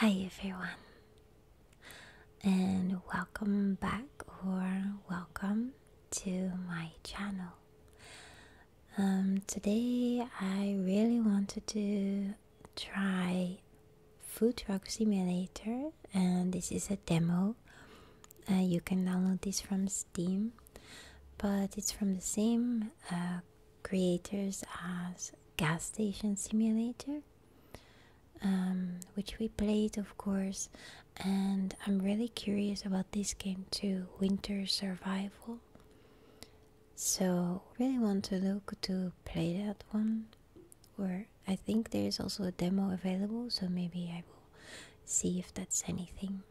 Hi everyone, and welcome back or welcome to my channel. Um, today, I really wanted to try Food Truck Simulator, and this is a demo. Uh, you can download this from Steam, but it's from the same uh, creators as Gas Station Simulator um, which we played, of course. And I'm really curious about this game too Winter Survival. So, really want to look to play that one. Where I think there is also a demo available, so maybe I will see if that's anything.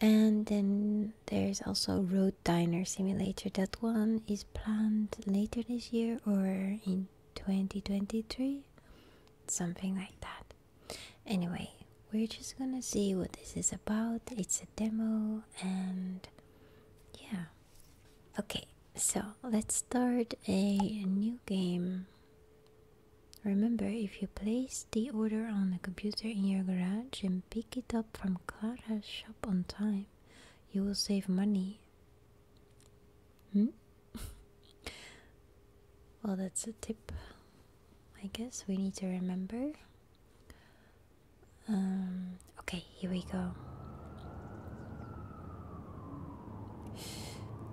And then there's also Road Diner Simulator. That one is planned later this year or in 2023, something like that. Anyway, we're just gonna see what this is about. It's a demo, and yeah, okay. So let's start a new game. Remember, if you place the order on the computer in your garage and pick it up from Clara's shop on time, you will save money Hmm? well, that's a tip. I guess we need to remember. Um, okay, here we go.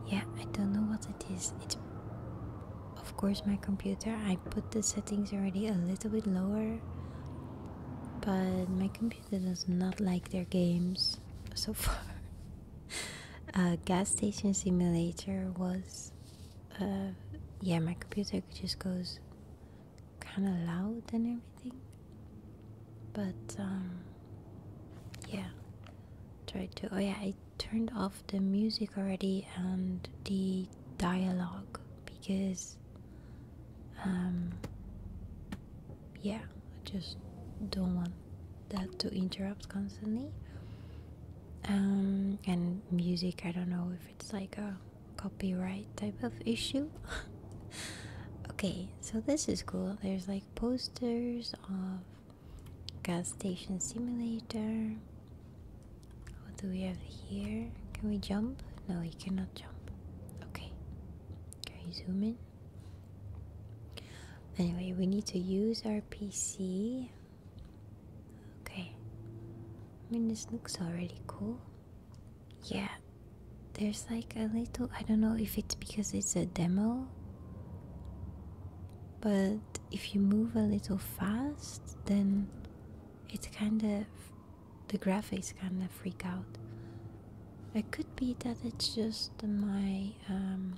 Yeah, I don't know what it is. It's of course my computer. I put the settings already a little bit lower, but my computer computer does not like their games so far. uh, gas station simulator was, uh, yeah, my computer just goes kind of loud and everything. But um, yeah, try to. Oh yeah, I turned off the music already and the dialogue because um, yeah, I just don't want that to interrupt constantly. Um, and music, I don't know if it's like a copyright type of issue. okay, so this is cool. There's like posters of gas station simulator. What do we have here? Can we jump? No, we cannot jump. Okay. Can you zoom in? Anyway, we need to use our PC. Okay. I mean, this looks already cool. Yeah. There's like a little. I don't know if it's because it's a demo. But if you move a little fast, then it's kind of the graphics kind of freak out. It could be that it's just my um,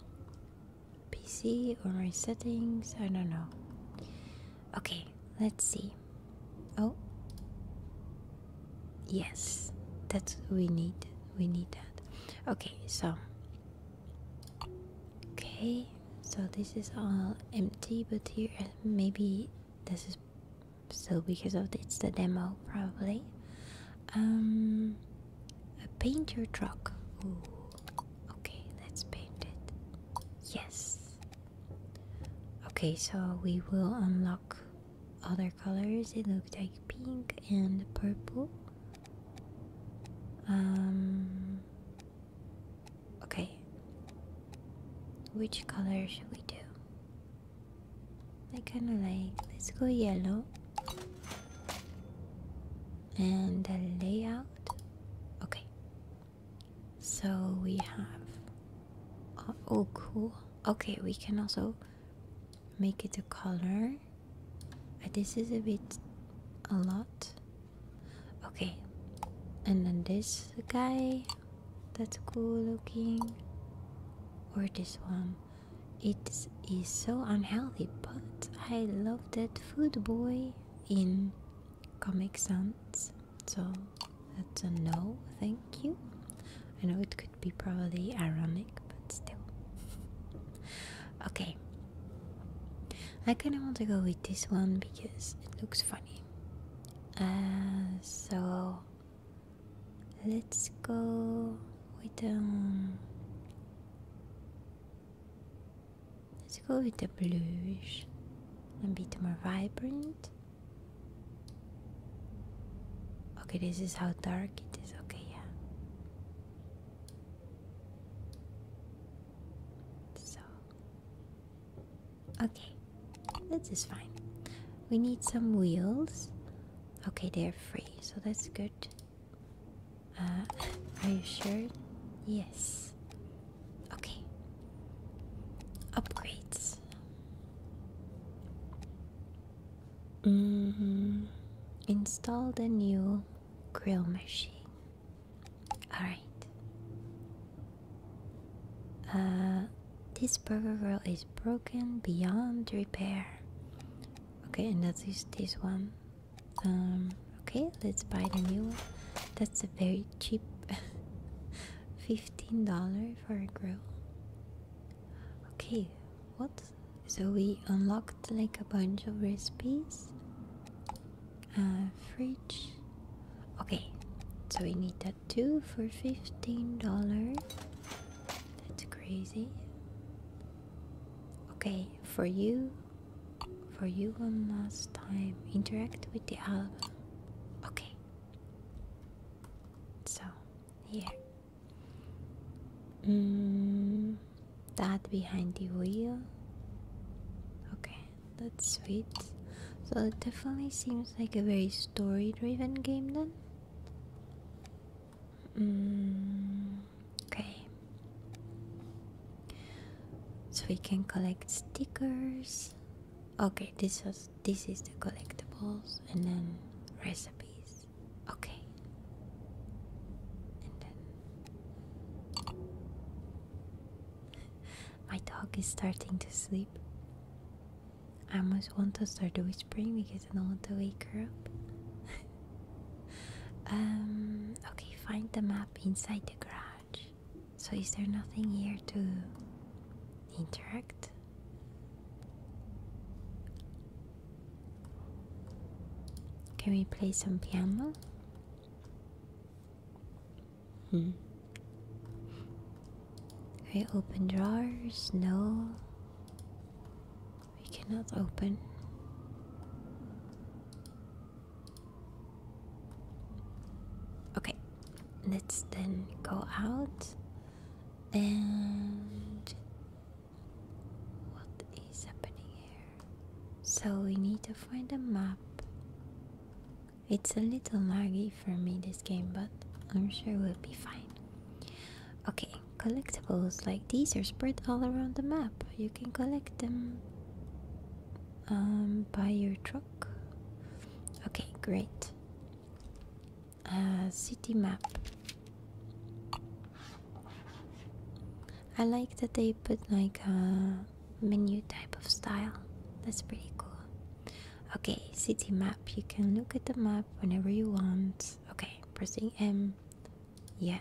PC or my settings, I don't know. Okay, let's see. Oh, yes, that's we need. We need that. Okay, so. Okay, so this is all empty, but here maybe this is so because of it's the demo probably um, paint your truck okay let's paint it yes okay so we will unlock other colors it looked like pink and purple um, okay which color should we do I kind of like, let's go yellow. And the layout. Okay. So we have. Uh, oh, cool. Okay, we can also make it a color. Uh, this is a bit. a lot. Okay. And then this guy that's cool looking or this one it is so unhealthy but i love that food boy in comic sans so that's a no thank you i know it could be probably ironic but still okay i kind of want to go with this one because it looks funny uh, so Let's go with um Let's go with the bluish a bit more vibrant. Okay, this is how dark it is. Okay, yeah. So Okay, is fine. We need some wheels. Okay, they're free, so that's good. Uh, are you sure? Yes. Okay. Upgrades. Mm Install the new grill machine. Alright. Uh, this burger grill is broken beyond repair. Okay, and that is this one. Um, okay, let's buy the new one. That's a very cheap $15 for a grill. Okay, what? So we unlocked like a bunch of recipes. Uh, fridge. Okay, so we need that two for fifteen dollars. That's crazy. Okay, for you, for you one last time. Interact with the album. Okay. So, here. Mm, that behind the wheel. Okay, that's sweet. So it definitely seems like a very story-driven game then. Mm, okay. So we can collect stickers. Okay, this was this is the collectibles and then recipes. Okay. And then my dog is starting to sleep. I almost want to start whispering because I don't want to wake her up. um, okay, find the map inside the garage. So, is there nothing here to interact? Can we play some piano? Hmm. Can open drawers? No. We cannot open. Okay, let's then go out and what is happening here? So we need to find a map. It's a little laggy for me this game, but I'm sure we'll be fine. Okay, collectibles like these are spread all around the map. You can collect them um, by your truck. Okay, great. Uh, city map. I like that they put like a menu type of style. That's pretty cool. Okay, city map. You can look at the map whenever you want. Okay, pressing M. Yeah.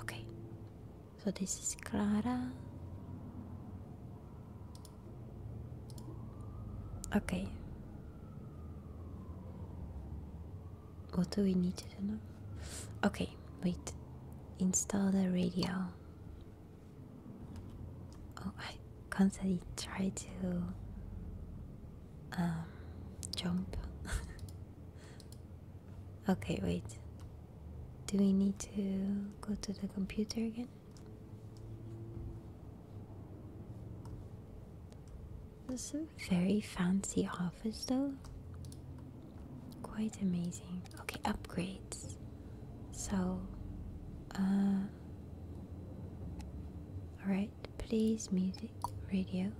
Okay. So this is Clara. Okay. What do we need to do now? Okay, wait. Install the radio. Oh, I constantly try to um, jump. okay, wait. Do we need to go to the computer again? This is a very fancy office though. Quite amazing. Okay, upgrades. So, uh, alright please music radio.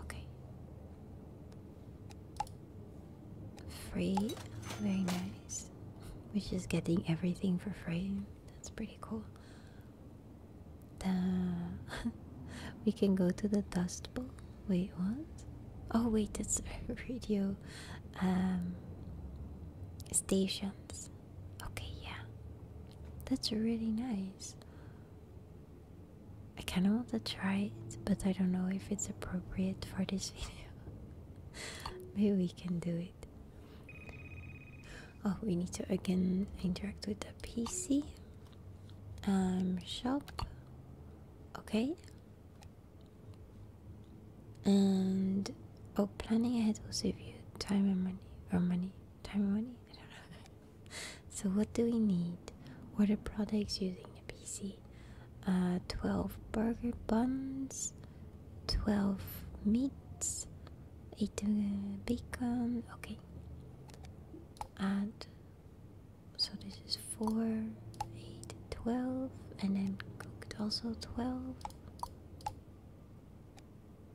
Okay. Free, very nice. We're just getting everything for free. That's pretty cool. The we can go to the Dust Bowl. Wait, what? Oh, wait, it's radio um, stations. Okay, yeah. That's really nice. I kinda want to try it, but I don't know if it's appropriate for this video. Maybe we can do it. Oh, we need to again interact with the PC. Um, shop. Okay. And oh, planning ahead will save you time and money or money time money? so what do we need? What are products using the PC? Uh, 12 burger buns, 12 meats, 8 uh, bacon, okay. Add, so this is 4, 8, 12, and then cooked also 12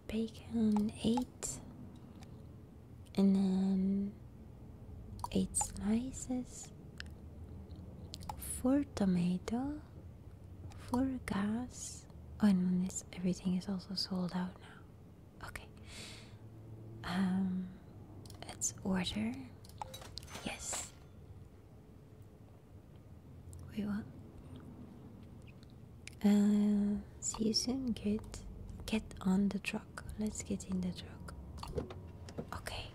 bacon, eight, and then eight slices, for tomato, for gas. Oh, and this everything is also sold out now. Okay. Um, let's order. Yes. We want uh, see you soon, kid. Get on the truck. Let's get in the truck. Okay.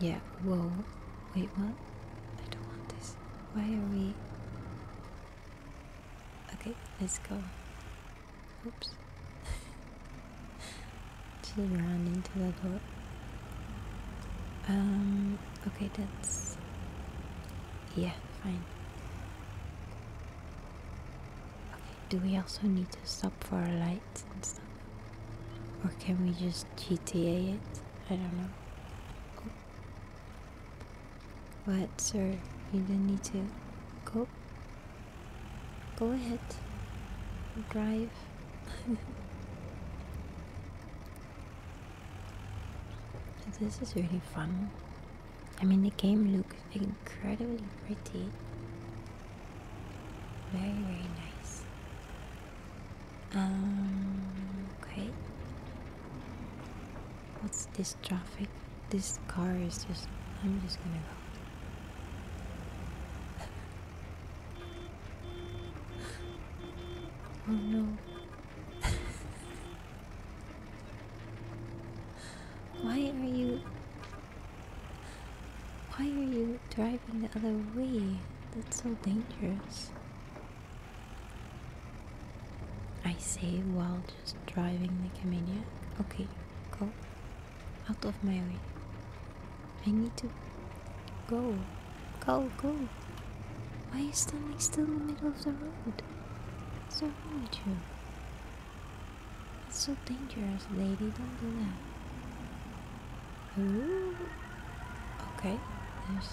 Yeah, whoa. Wait, what? I don't want this. Why are we. Okay, let's go. Oops. Just ran into the door. Um, Okay, that's. Yeah, fine. Okay, do we also need to stop for lights and stuff? Or can we just GTA it? I don't know. Oh. What, sir? You didn't need to. Go. Go ahead. Drive. This is really fun. I mean, the game looks incredibly pretty. Very, very nice. Um, okay. What's this traffic? This car is just. I'm just gonna go. Oh no. Why are you. Why are you driving the other way? That's so dangerous. I say while just driving the Camellia. Okay, go out of my way. I need to Go, go, go. Why are you standing still in the middle of the road? What's wrong with you? That's so dangerous, lady. Don't do that. Ooh. Okay, there's.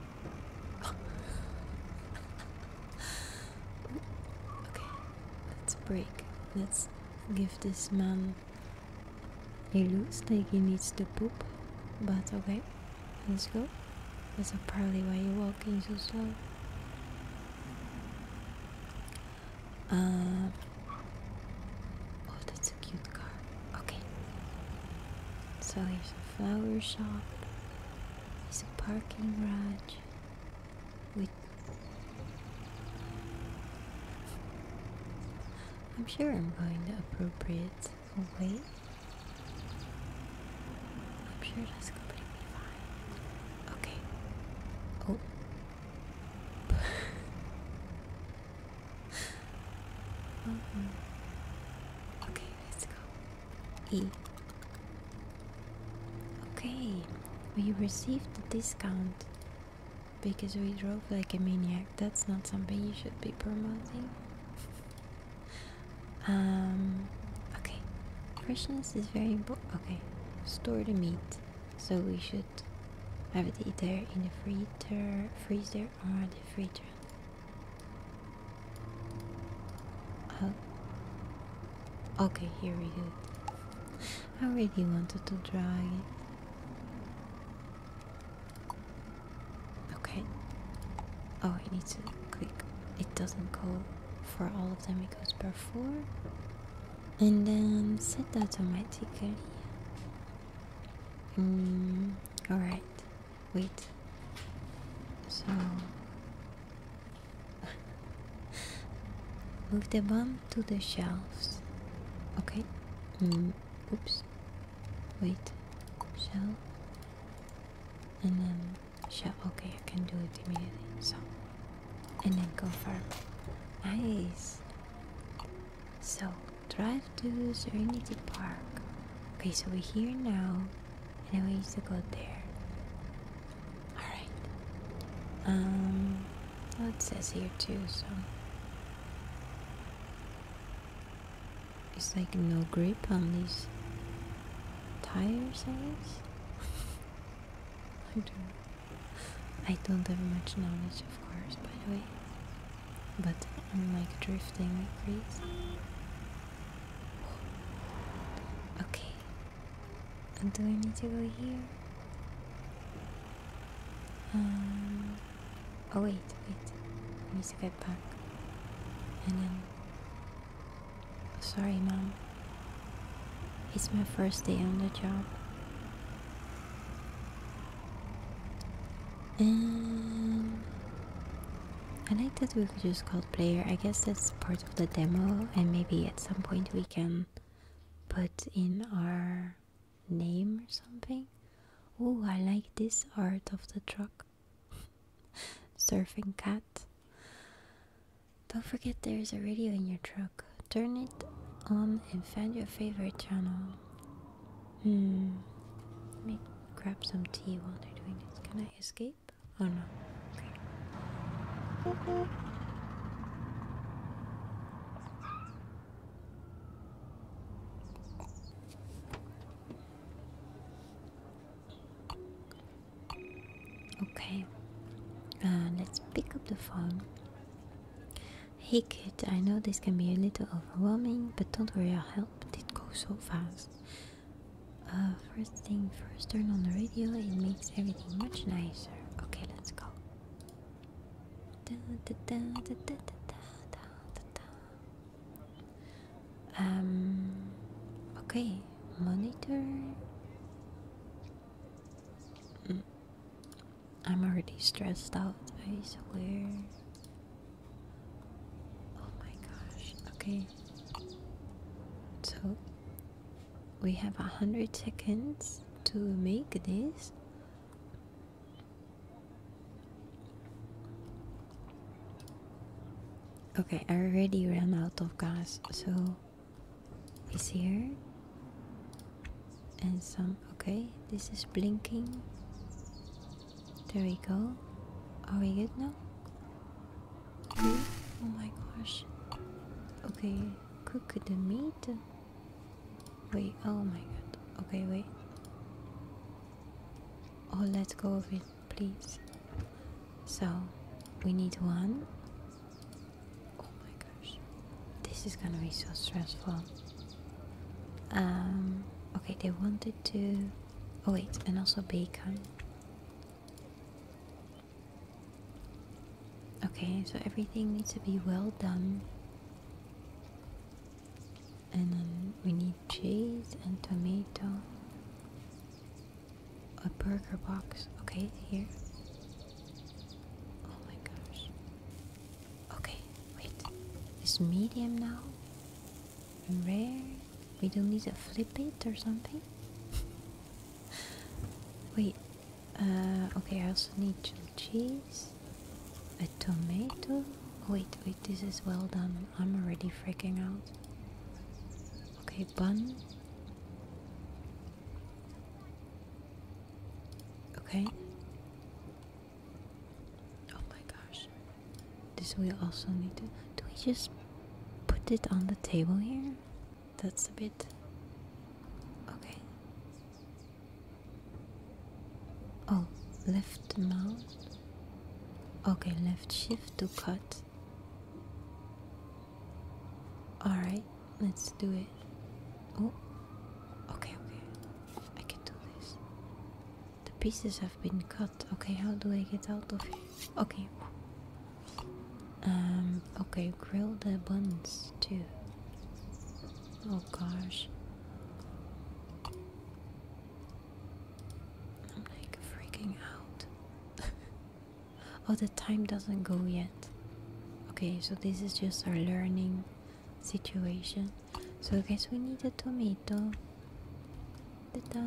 okay, let's break. Let's give this man he looks like he needs to poop, but okay, let's go. That's probably why you're walking so slow. Uh, oh, that's a cute car. Okay. So here's a flower shop. It's a parking garage I'm sure I'm going the appropriate awake? Okay. Oh. mm Okay, let's go. E. Okay, we received the discount because we drove like a maniac that's not something you should be promoting. um, okay. Freshness is very important. Okay, store the meat. So we should have it either in the freezer, freezer or the freezer. Oh. Okay, here we go. I really wanted to try it. Okay. Oh, it needs to click. It doesn't go for all of them, it goes per four. And then set that automatically. Mm, Alright. Wait. So. Move the bomb to the shelves. Okay. Mm, oops. Wait. Shell. And then shell. Okay, I can do it immediately. So. And then confirm. Nice. So, drive to Serenity Park. Okay, so we're here now. And then we need to go there. Alright. Um. Well, it says here too, so it's like no grip on these tires, I guess. I don't I don't have much knowledge of course. by the way. But I'm like drifting crazy. Okay. Do I need to go here? Um, Oh wait, wait. I need to get back. And then... Sorry, mom. It's my first day on the job. And... I like that we could just use player. I guess that's part of the demo. And maybe at some point we can put in our name or something. Oh, I like this art of the truck. Surfing cat. Don't forget there is a radio in your truck. Turn it on and find your favorite channel. Hmm. Let me grab some tea while they're doing this. Can I escape? Oh no. Okay, let's pick up the phone. Hey kid, I know this can be a little overwhelming, but don't worry, I'll help. It go so fast. Uh, first thing first, turn on the radio, it makes everything much nicer. Okay, let's go. Um, okay, monitor. Mm. I'm already stressed out, I swear. Oh my gosh, okay. So, we have a hundred seconds to make this. Okay, I already ran out of gas, so it's here. And some. Okay, this is blinking. There we go. Are we good now? Okay. Oh my gosh. Okay, cook the meat. Wait, oh my god. Okay, wait or oh, let go of it, please. So we need one. Oh my gosh, this is gonna be so stressful. Um, okay, they wanted to. Oh, wait, and also bacon. Okay, so everything needs to be well done and then we need cheese and tomato. A burger box. Okay, here. Oh my gosh. Okay, wait. It's medium now. And rare. We don't need to flip it or something. wait. Uh, okay, I also need some cheese. A tomato? Wait, wait, this is well done. I'm already freaking out. Okay, bun. Okay. Oh my gosh. This we also need to. Do we just put it on the table here? That's a bit. Okay. Oh, left mouse. Okay, left shift to cut. Alright, let's do it. Oh, okay, okay. I can do this. The pieces have been cut. Okay, how do I get out of here? Okay. Um, okay, grill the buns too. Oh gosh. I'm like freaking out. oh, the time doesn't go yet. Okay, so this is just our learning situation. So, I guess we need a tomato. Ta-da!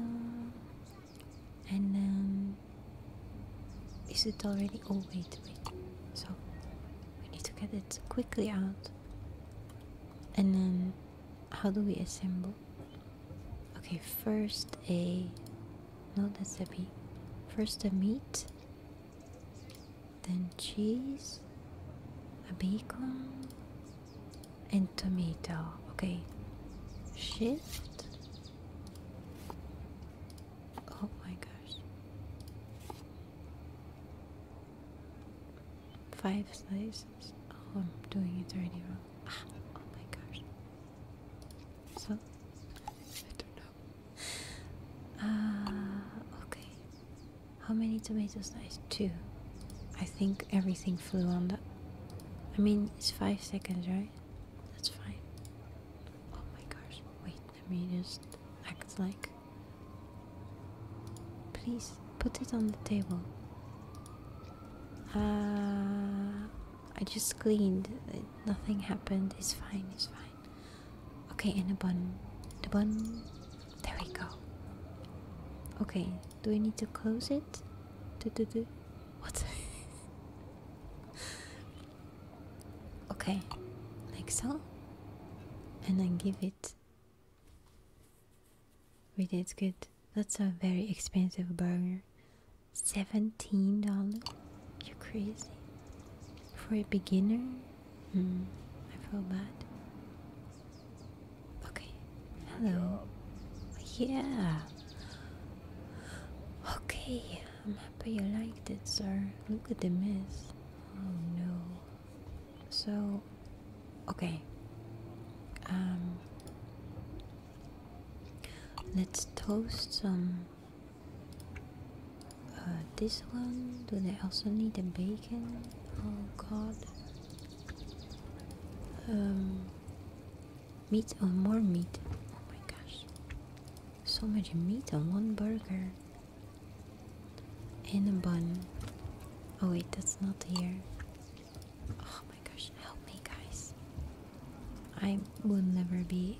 And then. is it already? Oh, wait, wait. So, we need to get it quickly out. And then how do we assemble? Okay, first a no, that's a B. First a meat, then cheese, a bacon, and tomato. Okay, shift. Oh my gosh. Five slices. Oh, I'm doing it already wrong. Ah, oh my gosh. So, I don't know. Uh, okay. How many tomato slices? Two. I think everything flew on that. I mean, it's five seconds, right? That's fine. Oh my gosh. Wait, let me just act like Please put it on the table. Ah, I just cleaned. Nothing happened. It's fine. It's fine. Okay, and the bun. The bun. There we go. Okay, do we need to close it? Do do do. What? okay, like so. And then give it Really, it's good. That's a very expensive burger. Seventeen dollars? You crazy? For a beginner? Hmm, I feel bad. Okay. Hello. Yeah. Okay, I'm happy you liked it, sir. Look at the mess. Oh no. So, okay. Um, let's toast some. Uh, this one. Do they also need the bacon? Oh God. Um, meat or more meat? Oh my gosh! So much meat on one burger. And a bun. Oh wait, that's not here. Oh my gosh, help me, guys. I will never be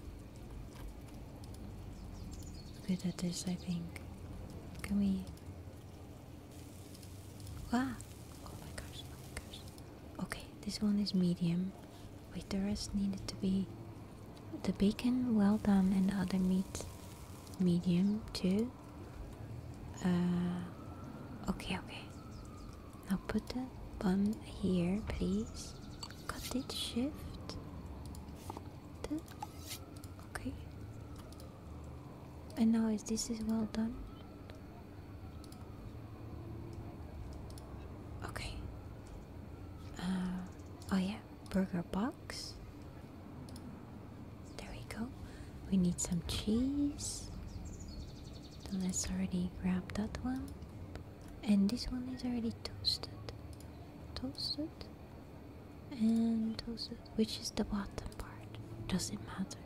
good at this, I think. Can we. Wow! Ah, oh my gosh, oh my gosh. Okay, this one is medium. Wait, the rest needed to be the bacon well done and the other meat medium too. Uh, okay, okay. Now put the bun here, please. Cut it, shift. okay. And now is this is well done? Okay. Uh, oh yeah, burger box. There we go. We need some cheese. So let's already grab that one. And this one is already toasted. Toasted? And toasted. Which is the bottom part? does it matter.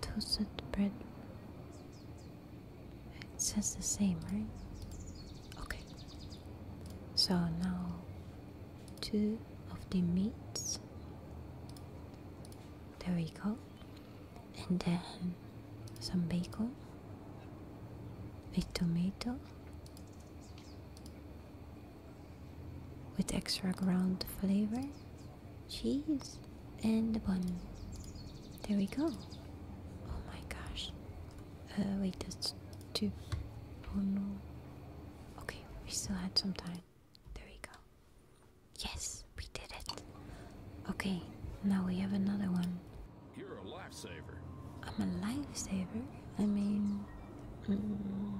Toasted bread it says the same, right? Okay. So now two of the meats. There we go. And then some bacon, a tomato with extra ground flavor, cheese, and the bun. There we go. Oh my gosh. Uh, wait, that's two. Oh no. Okay, we still had some time. There we go. Yes, we did it. Okay, now we have another one. You're a lifesaver. I'm a lifesaver? I mean, mm,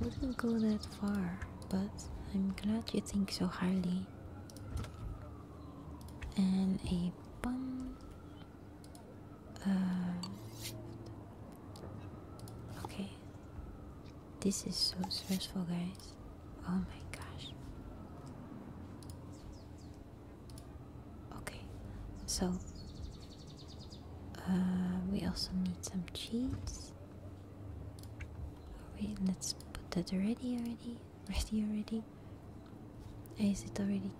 wouldn't go that far, but I'm glad you think so highly. And a bum. Um, okay. This is so stressful, guys. Oh my gosh. Okay, so uh, we also need some cheese. Wait, let's put that already. Already ready already? Is it already?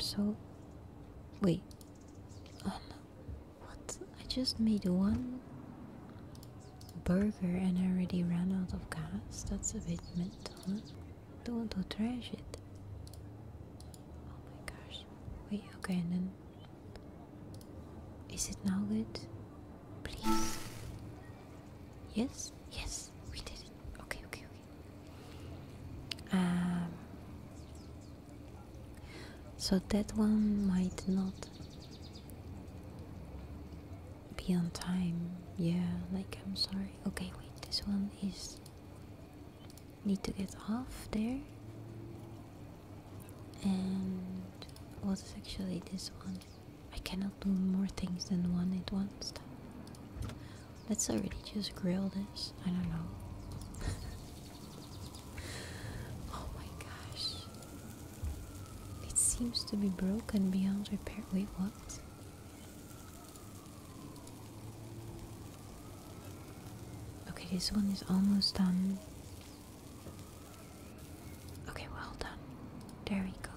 So, wait. Oh no! What? I just made one burger and I already ran out of gas. That's a bit mental. Don't trash it. Oh my gosh! Wait. Okay, and then is it now good? Please. Yes. Yes. We did it. Okay. Okay. Okay. Um, so that one might not be on time. Yeah, like I'm sorry. Okay, wait, this one is. Need to get off there. And what is actually this one? I cannot do more things than one at once. Let's already just grill this. I don't know. oh my gosh. It seems to be broken beyond repair. Wait, what? Okay, this one is almost done. Okay, well done. There we go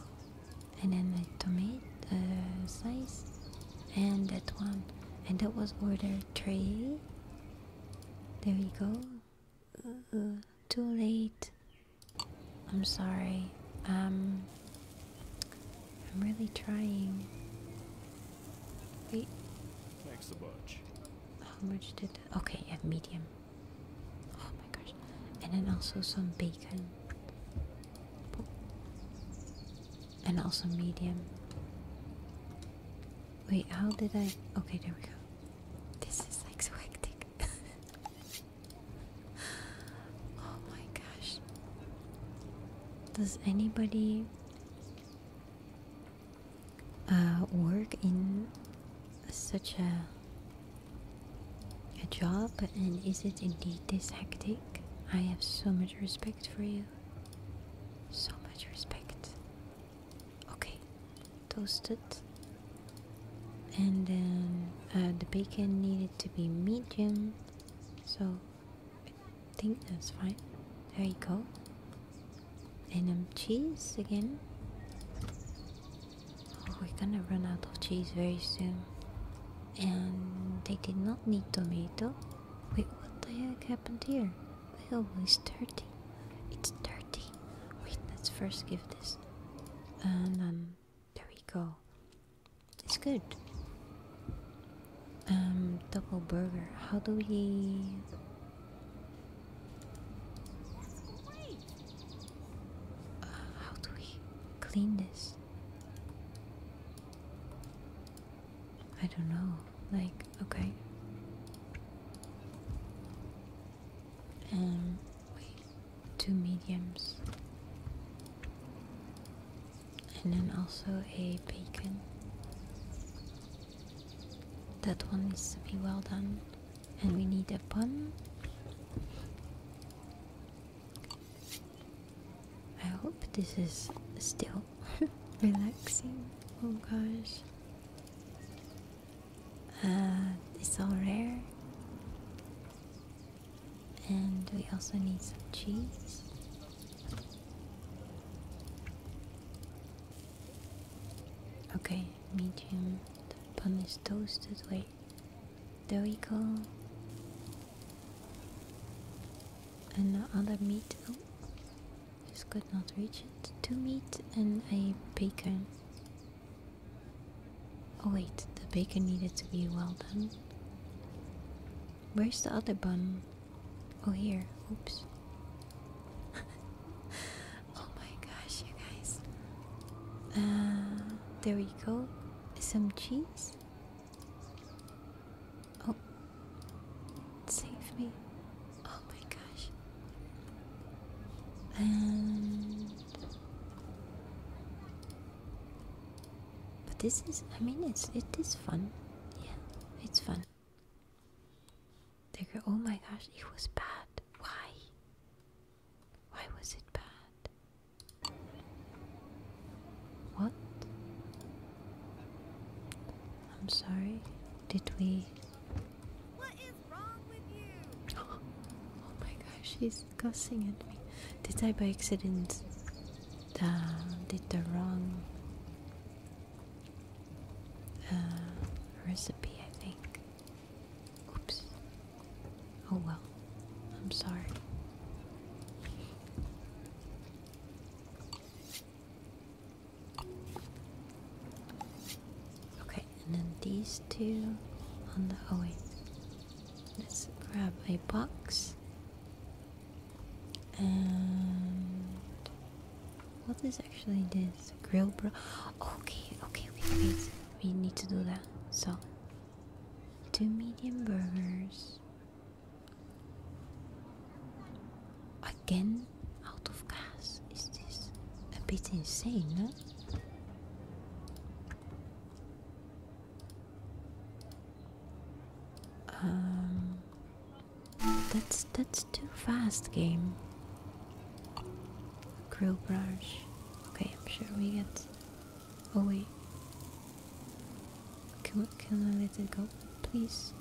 and then the tomato uh, slice and that one and that was order three there we go uh, too late i'm sorry um i'm really trying wait thanks a bunch how much did that? okay yeah medium oh my gosh and then also some bacon and also medium. Wait, how did I? Okay, there we go. This is like so hectic. oh my gosh. Does anybody uh, work in such a a job, and is it indeed this hectic? I have so much respect for you. So much respect. Okay, toasted. And then um, uh, the bacon needed to be medium, so I think that's fine. There you go. And um, cheese again. Oh, we're gonna run out of cheese very soon and they did not need tomato. Wait, what the heck happened here? My elbow dirty. It's dirty. Wait, let's first give this. And then um, there we go. It's good. Um, double burger. How do we? Uh, how do we clean this? I don't know, like, okay. Um, two mediums. And then also a bacon. That one needs to be well done. And we need a bun. I hope this is still relaxing. Oh gosh. Uh, it's all rare. And we also need some cheese. Okay, medium. The bun is toasted. Wait. There we go. and the other meat. Oh, just could not reach it. Two meat and a bacon. Oh wait, the bacon needed to be well done. Where's the other bun? Oh here. Oops. oh my gosh, you guys. Uh, there we go. Some cheese. Oh, save me. Oh my gosh. But this is, I mean, it's it is fun. Yeah, it's fun. They go, oh my gosh, it was bad. Why? Why was it bad? What? I'm sorry. Did we? What is wrong with you? Oh, my gosh, she's cussing at me. Did I by accident? Uh, did the wrong uh, recipe? I think. Oops. Oh well. I'm sorry. Okay, and then these two on the. Oh wait. Let's grab a box. And. What is actually this? Grill bro. Okay, okay, okay, We need to do that. So, two medium burgers. Again out of gas. Is this a bit insane, huh? Um that's that's too fast game. Grill brush. Okay, I'm sure we get Oh wait. Can, I let it go? Please.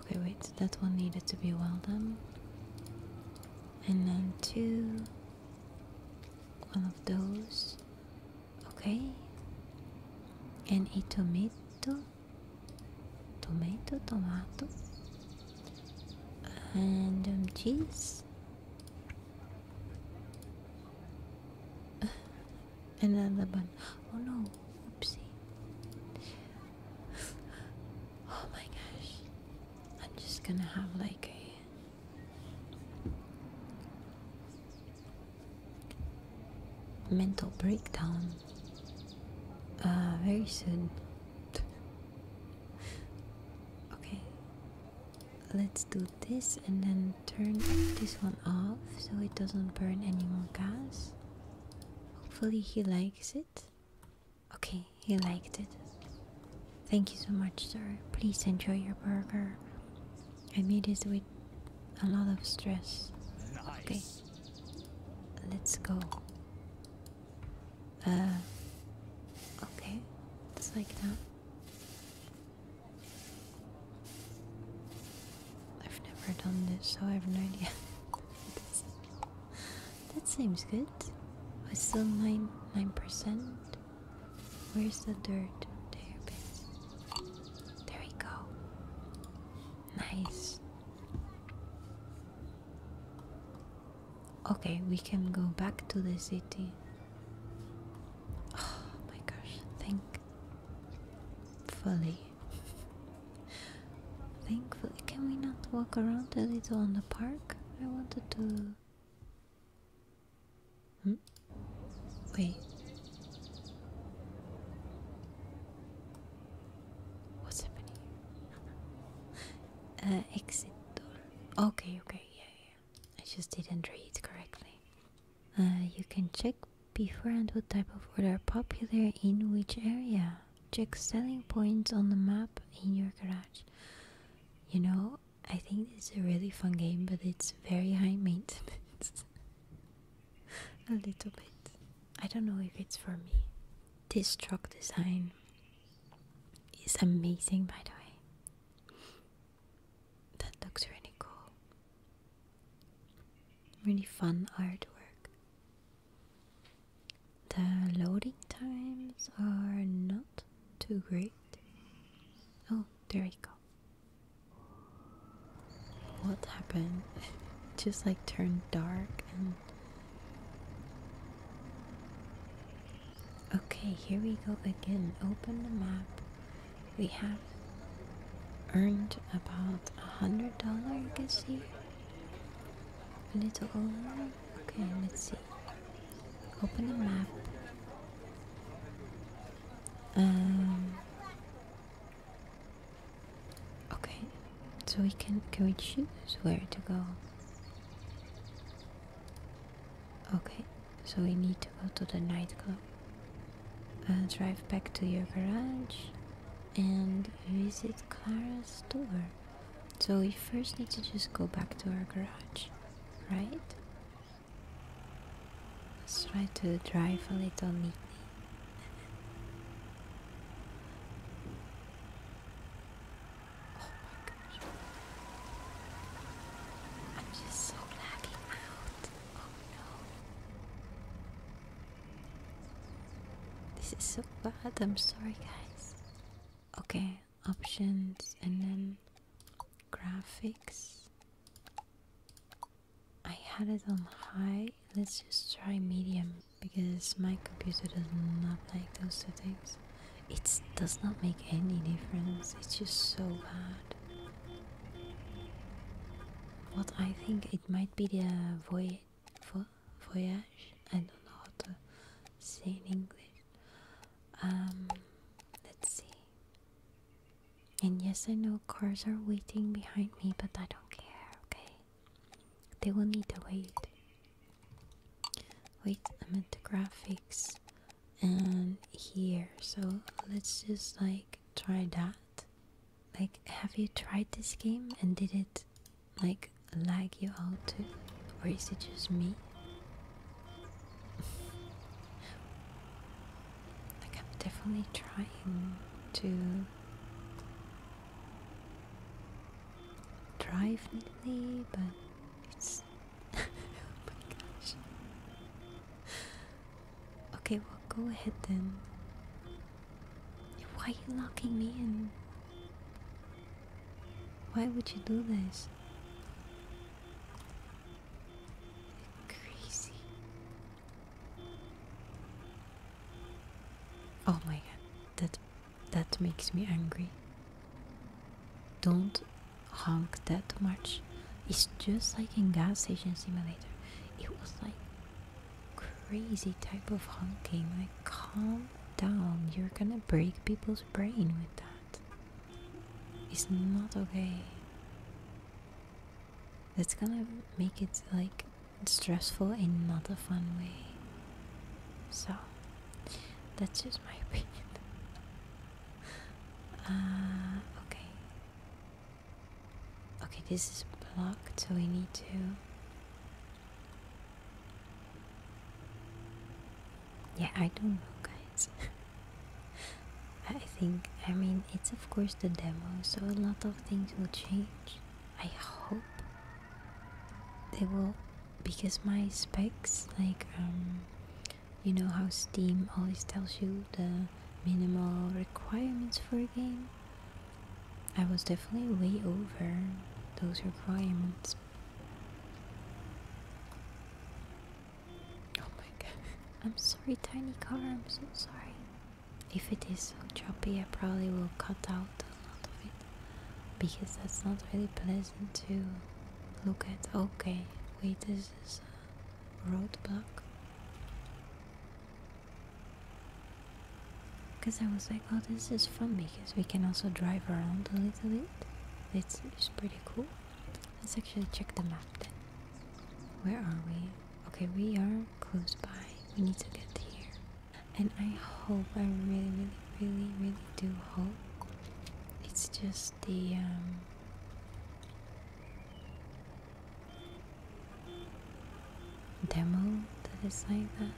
Okay, wait. That one needed to be well done. And then two. One of those. Okay. And a tomato tomato, tomato, and um, cheese, another bun. Oh no! Oopsie! Oh my gosh! I'm just gonna have like a mental breakdown uh, very soon. okay, let's do this and then turn this one off so it doesn't burn any more gas. Hopefully, he likes it. Okay, he liked it. Thank you so much, sir. Please enjoy your burger. I made this with a lot of stress. Okay. Let's go. Uh, okay, it's like that. I've never done this, so I have no idea. that seems good. It's still nine nine percent. Where's the dirt? There, it is. There we go. Nice. Okay, we can go back to the city. Oh my gosh, thank fully. Thankfully, can we not walk around a little on the park? I wanted to. Hmm? Wait. What's happening uh, exit door. Okay, okay, yeah, yeah. I just didn't read correctly. Uh, you can check beforehand what type of wood are popular in which area. Check selling points on the map in your garage. You know, I think this is a really fun game, but it's very high maintenance. a little bit. I don't know if it's for me. This truck design is amazing, by the way. That looks really cool. Really fun artwork. The loading times are not too great. Oh, there we go. What happened? just like turned dark and Okay, here we go again. Open the map. We have earned about a hundred dollar, you can see. A little over. Okay, let's see. Open the map. Um, Okay, so we can can we choose where to go? Okay, so we need to go to the nightclub. Uh, drive back to your garage and visit Clara's store. So we first need to just go back to our garage, right? Let's try to drive a little neatly. Oh my gosh. I'm just so lagging out. Oh no. This is so bad. I'm sorry, guys. Okay, options and then graphics. I had it on high let's just try medium because my computer does not like those settings. It does not make any difference, it's just so bad. What I think it might be the voyage, I don't know how to say in English. Um, let's see. And yes, I know cars are waiting behind me, but I don't care, okay? They will need to wait. Wait, i meant at graphics and here. So let's just like try that. Like, have you tried this game and did it like lag you out too? Or is it just me? like, I'm definitely trying to drive me, but it's. oh my gosh. Okay, well, go ahead then. Why are you locking me in? Why would you do this? Crazy. Oh my god that that makes me angry don't honk that much it's just like in gas station simulator it was like crazy type of honking like calm down you're gonna break people's brain with that it's not okay that's gonna make it like and stressful in another fun way. So, that's just my opinion. Uh, okay. Okay, this is blocked, so we need to. Yeah, I don't know, guys. I think, I mean, it's of course the demo, so a lot of things will change. I hope they will because my specs like um, you know how steam always tells you the minimal requirements for a game i was definitely way over those requirements oh my god i'm sorry tiny car i'm so sorry if it is so choppy, I probably will cut out a lot of it because that's not really pleasant to look at. Okay, wait, this is a roadblock. Because I was like, oh, this is fun because we can also drive around a little bit. It's, it's pretty cool. Let's actually check the map then. Where are we? Okay, we are close by. We need to get here and I hope I really really really really do hope it's just the um, demo that is like that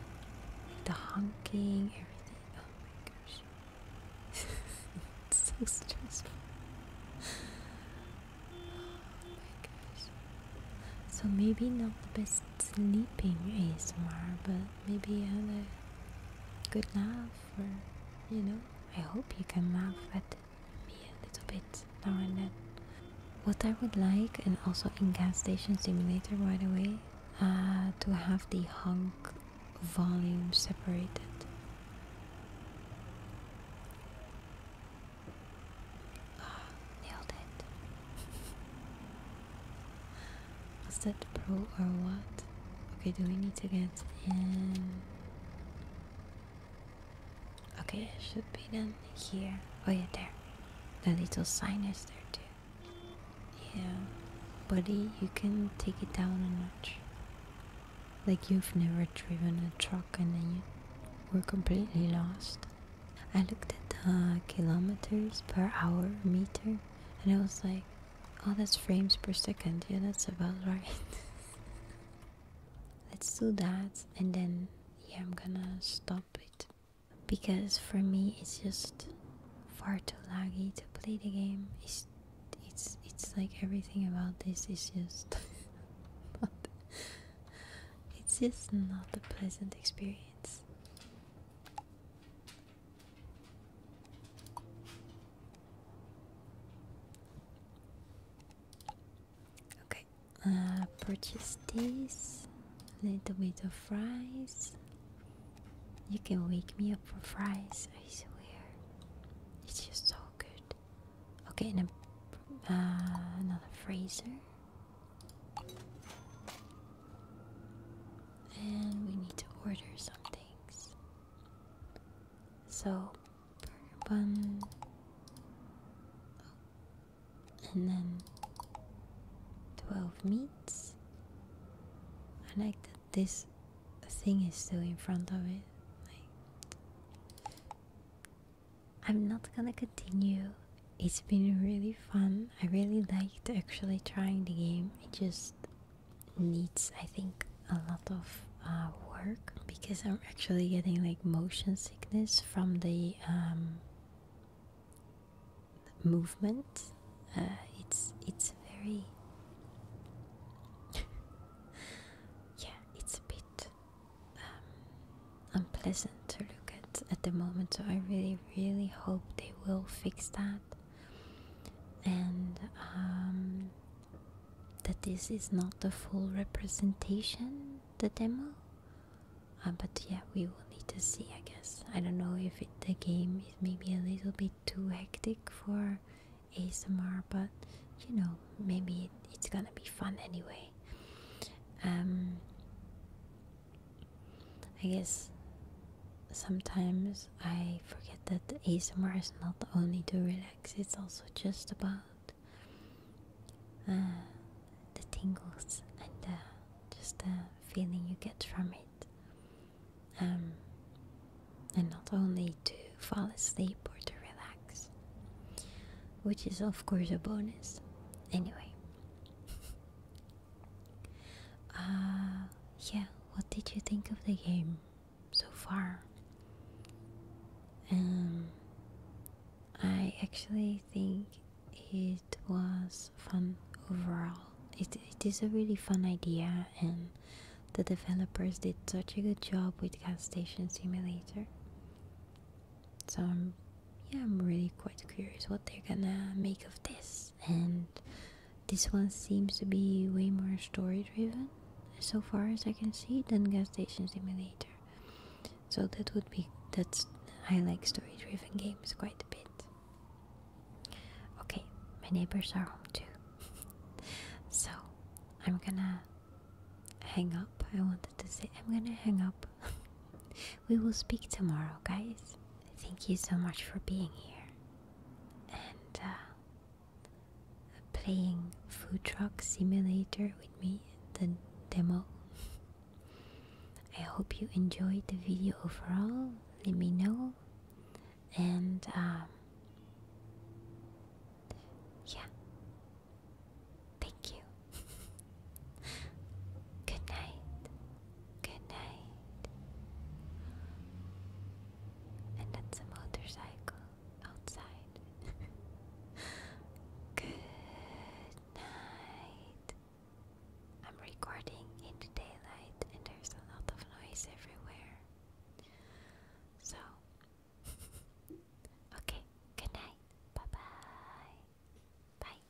the honking everything oh my gosh it's so stressful oh my so maybe not the best sleeping ASMR, but maybe you had a good laugh, or you know, I hope you can laugh at me a little bit now and then. What I would like, and also in Gas Station Simulator, by the way, uh, to have the hunk volume separated. Ah, nailed it. Was that pro or what? Okay, do we need to get in? Okay, it should be then here. Oh yeah, there. That little sign is there too. Yeah. Buddy, you can take it down a notch. Like you've never driven a truck and then you were completely lost. I looked at the kilometers per hour meter and I was like, oh, that's frames per second. Yeah, that's about right. Let's do that and then, yeah, I'm gonna stop it. Because for me, it's just far too laggy to play the game. It's, it's, it's like everything about this is just. it's just not a pleasant experience. Okay, uh, purchase this. Little bit of fries. You can wake me up for fries. I swear, it's just so good. Okay, and a, uh, another freezer. And we need to order some things. So, burger bun. And then 12 meats. I like that this thing is still in front of it. I'm not gonna continue it's been really fun. I really liked actually trying the game. It just needs, I think, a lot of uh, work because I'm actually getting like motion sickness from the um, movement. Uh, it's it's very yeah, it's a bit um, unpleasant to look at at the moment. So I really, really hope they will fix that, and um, that this is not the full representation, the demo. Uh, but yeah, we will need to see. I guess I don't know if the game is maybe a little bit too hectic for ASMR, but you know maybe it's gonna be fun anyway. Um, I guess sometimes I forget that ASMR is not only to relax, it's also just about uh, the tingles and uh, just the feeling you get from it. Um, and not only to fall asleep or to relax, which is, of course, a bonus. Anyway, Uh, yeah, what did you think of the game so far? Um, I actually think it was fun overall. It, it is a really fun idea, and the developers did such a good job with Gas Station Simulator. So I'm yeah, I'm really quite curious what they're gonna make of this. And this one seems to be way more story driven, so far as I can see, than Gas Station Simulator. So that would be that's I like story driven games quite a bit. Okay, my neighbors are home too. so I'm gonna hang up. I wanted to say I'm gonna hang up we will speak tomorrow, guys. Thank you so much for being here and uh, playing Food Truck Simulator with me, the demo. I hope you enjoyed the video overall. Let me know. And, um, yeah. Thank you. Good night. Good night. And that's a motorcycle outside. Good night. I'm recording in the daylight and there's a lot of noise everywhere. So, okay, good night. Bye bye. Bye.